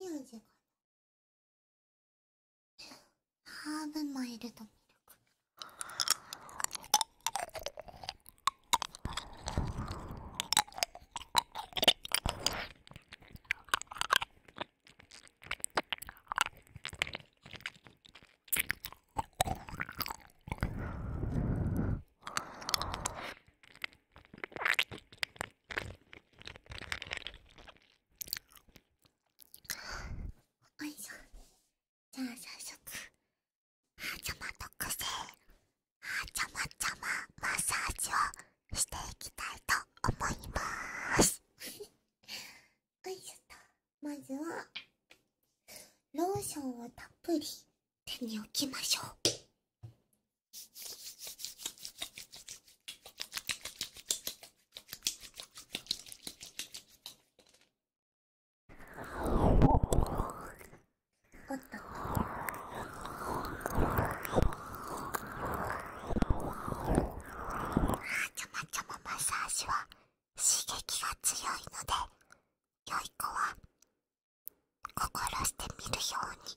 4時かなハーブマイルドミルクおいしょじゃあ早速はーちゃま特製はーちゃまちゃまマッサージをしていきたいと思いまーすおいしょとまずはローションをたっぷり手に置きましょうおっと。ちょまちょまマッサージは刺激が強いので良い子は心してみるように。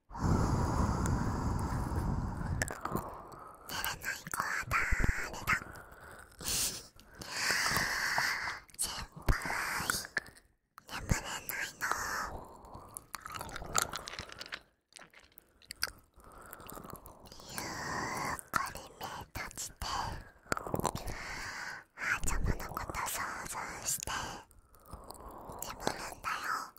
ない子は誰だ先輩眠れないのゆっくり目閉じてあちゃまのこと想像して眠るんだよ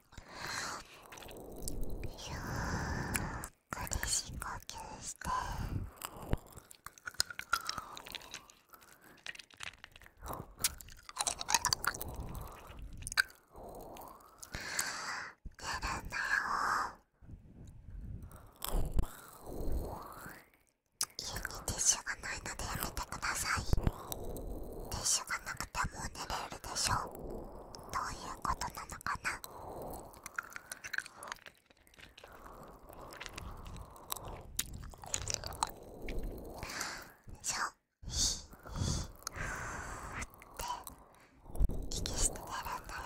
ゆっくり深呼吸して出るんだよ家にティッシュがないのでやめてくださいティッシュがかなくても寝れるでしょうどういうことなのかなそうひひって息して寝るんだよ。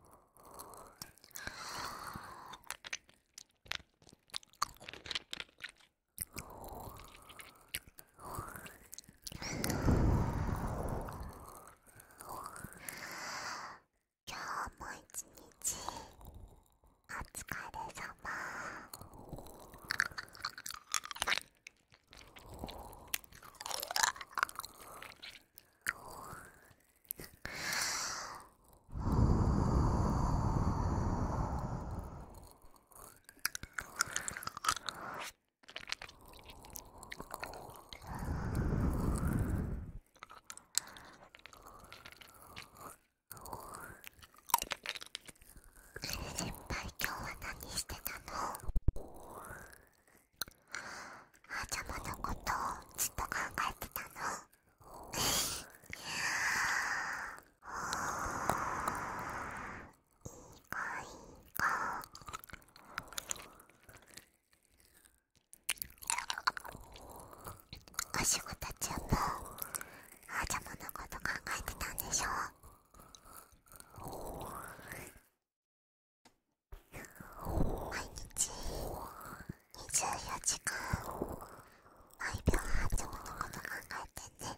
今日も一日お疲れ様先輩今日は何してたのはあちゃまのことをずっと考えてたのいいかいいかお仕事中はあちゃまのこと考えてたんでしょ毎日24時間毎秒半自分のこと考えてね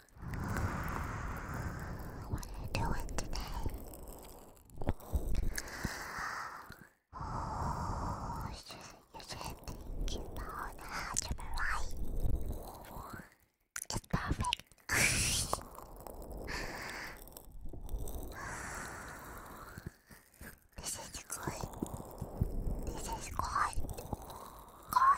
What are you doing today? Oh, you should, you should think about right. It's perfect. this is good. This is Good.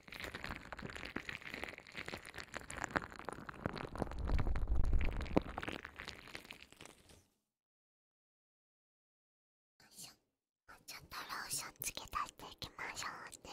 しょちょっとローションつけ足していきましょうね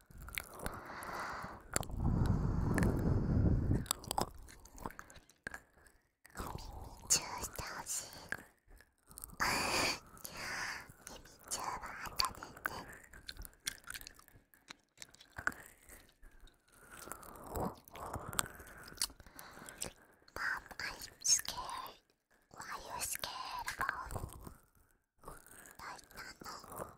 チューしてほしい耳チューはあかねんねママ I'm scared Why are you scared about 大なの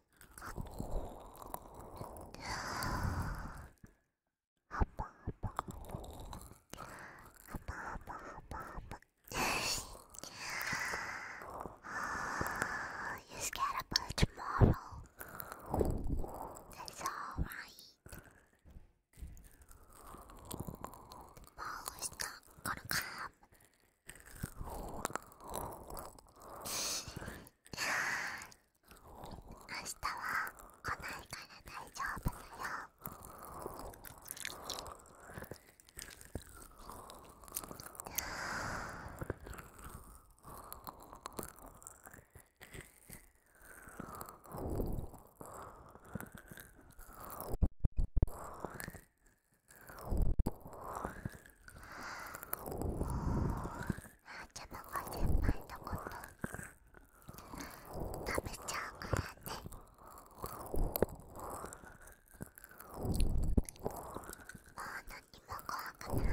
You're scared about tomorrow. That's alright. Tomorrow is not gonna come. 日は来ないから大丈夫だよああーちゃまが先輩のこと食べちゃうからねもう何も怖くないよ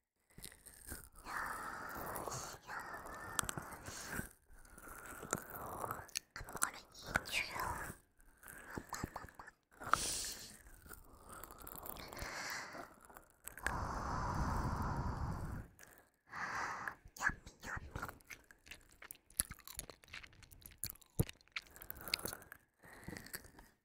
やっ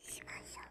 しましょう。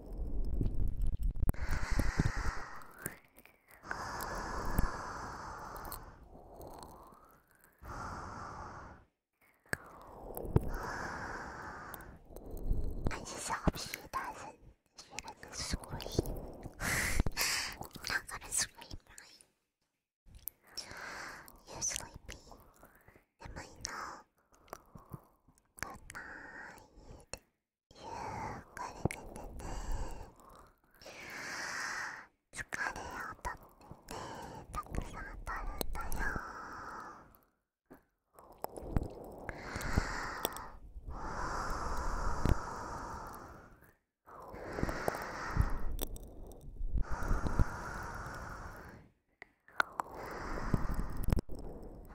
但是小屁蛋是学了个 scream，not gonna scream right. You're sleepy. Am I now? Good night. っくり寝てて疲れをとってたくさん取るんよ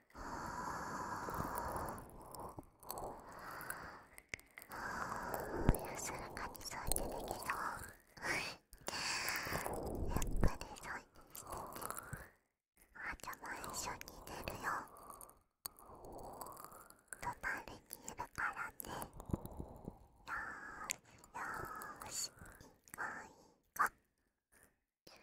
安らかに掃除できそうやっぱり掃除してねあじゃあもう一緒に寝るよ隣にいるからねよーしよーしいい子い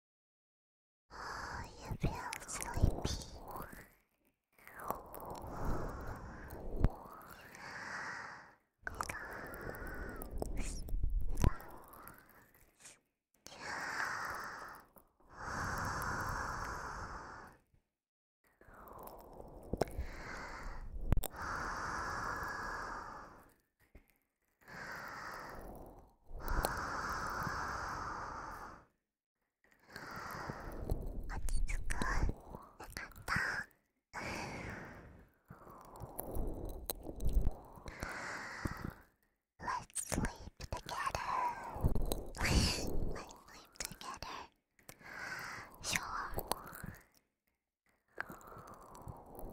Oh, you feel sleepy. Relax. 落ち着くよかった Let's sleep together Let's sleep together Sure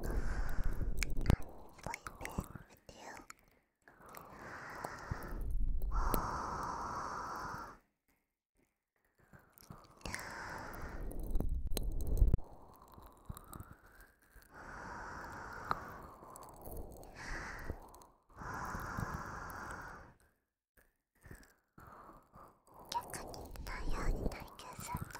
I'm sleeping よ… i t h you. 逆に太いに体験すると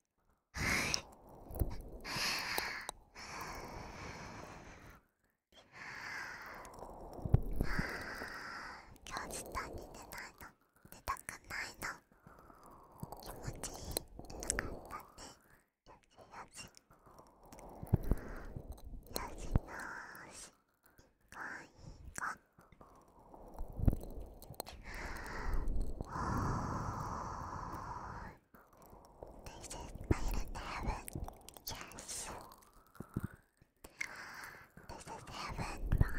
今日下に出ないの出たくないの気持ちよかったねよしよしよしよしいこいこ this is made heaven. Yes. This is heaven, my.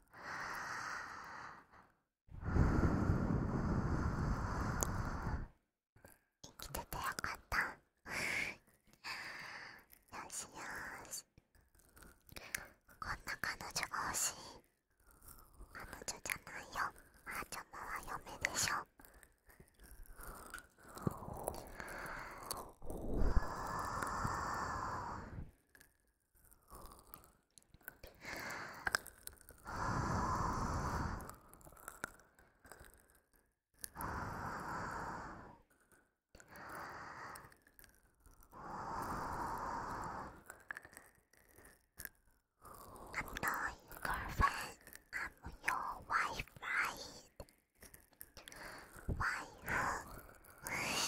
生きててよかったよしよしこんな彼女が欲しい彼女じゃないよマちゃまは嫁でしょ I'm not your girlfriend, I'm your wife, right? Why?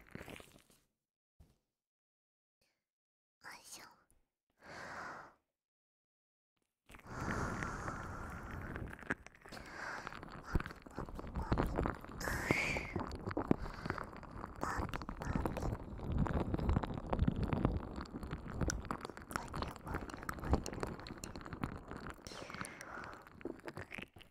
いしょあ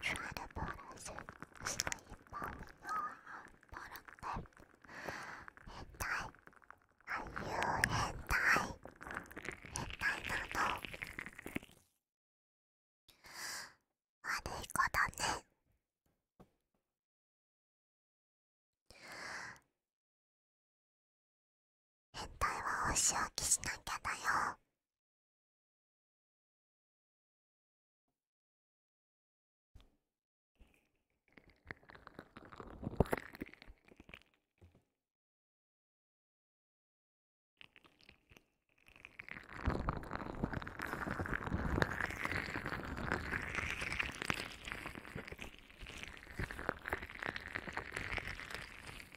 Try to put us sleep on your bottom lip. Hentai. Are you hentai? Hentai なの悪い子だね。変態はお仕置きしなきゃだよ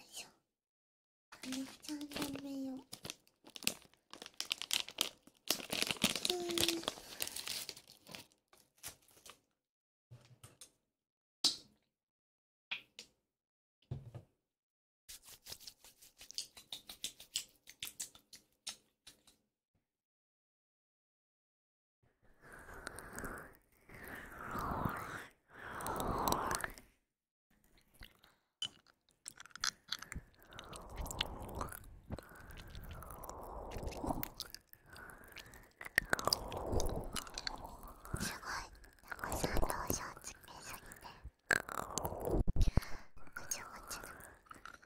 いしょめっちゃ食べようすごい猫さんどうしよすぎてもちもちの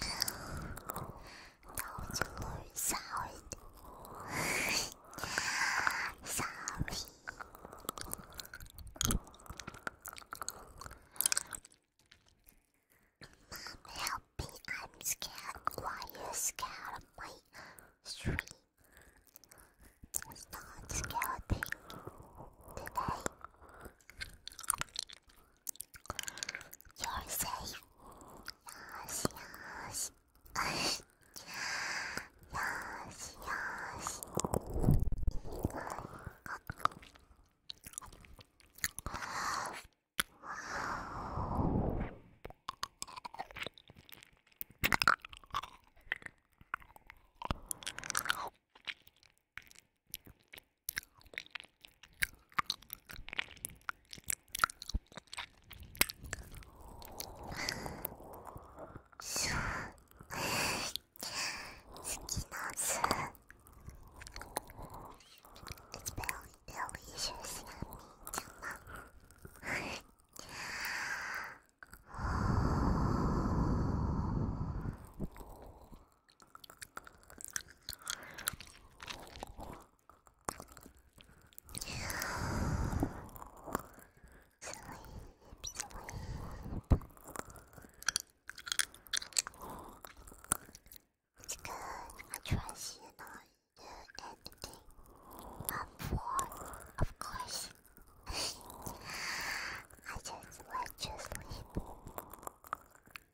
Don't you worry, sorry. sorry. Mom, help me. I'm scared. Why are you scared of my stream? It's not scary today. You're safe. Yosh, yosh. yosh, yosh. しょ好きなす It's very, very interesting on me, Gemma. It's good. I trust you not to do anything. Not for, of course. I just let you sleep.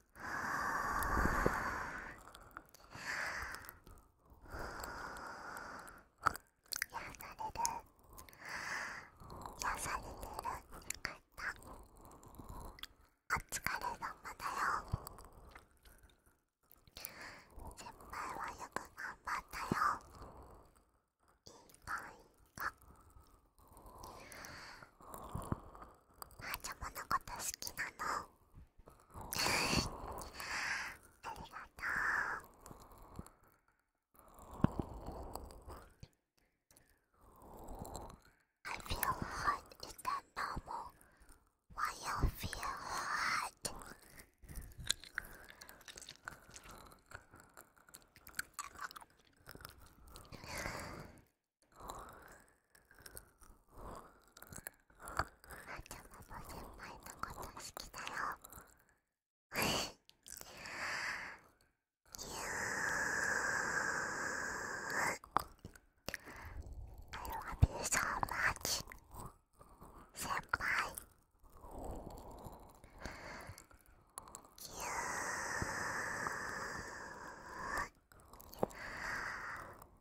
は癒されてるよかったお疲れ様だよ先輩はよく頑張ったよいいかいいかはあ、あ、ははーちゃまのこと好きなの I feel hot. Is that normal? Why you feel hot? あちゃまも先輩のこと好きだよいやー I love you so much 先輩ぎゅー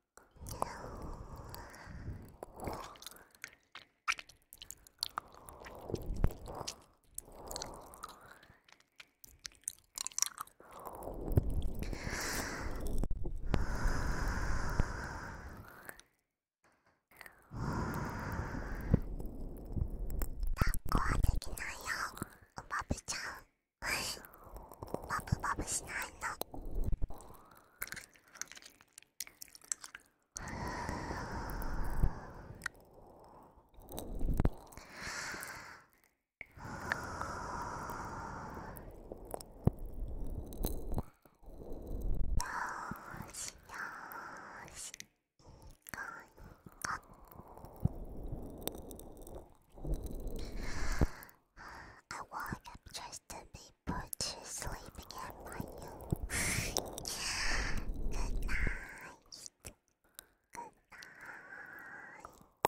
抱っこはできないよバブちゃんバブバブしないの I want just to be people to sleeping at my you. Good night. Good night.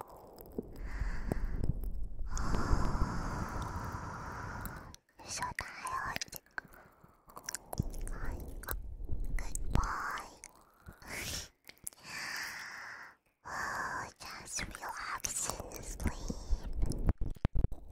so tired. Goodbye. just relax and sleep.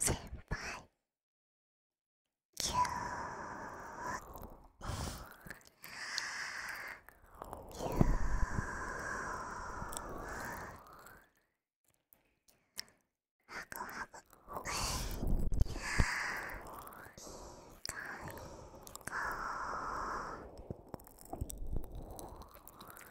先輩ぎゅーぎゅーはぐはぐいいー…いい子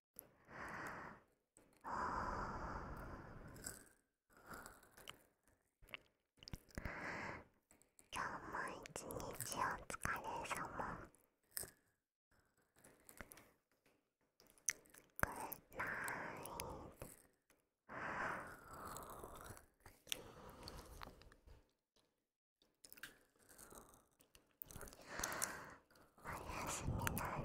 今日も一日お疲れ様グッナイおやすみなさい。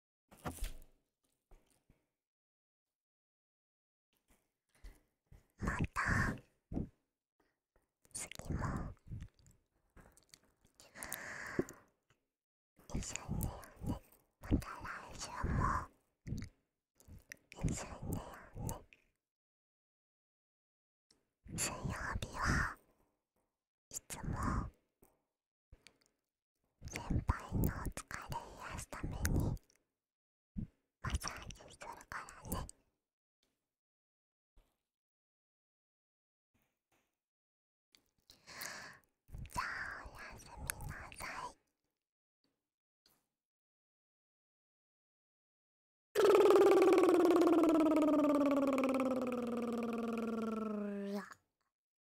また次も一緒にねよねまた来週も一緒にねよね水曜日はいつも先輩のお疲れ癒すためにマッサージするからねじゃあおやすみなさいっ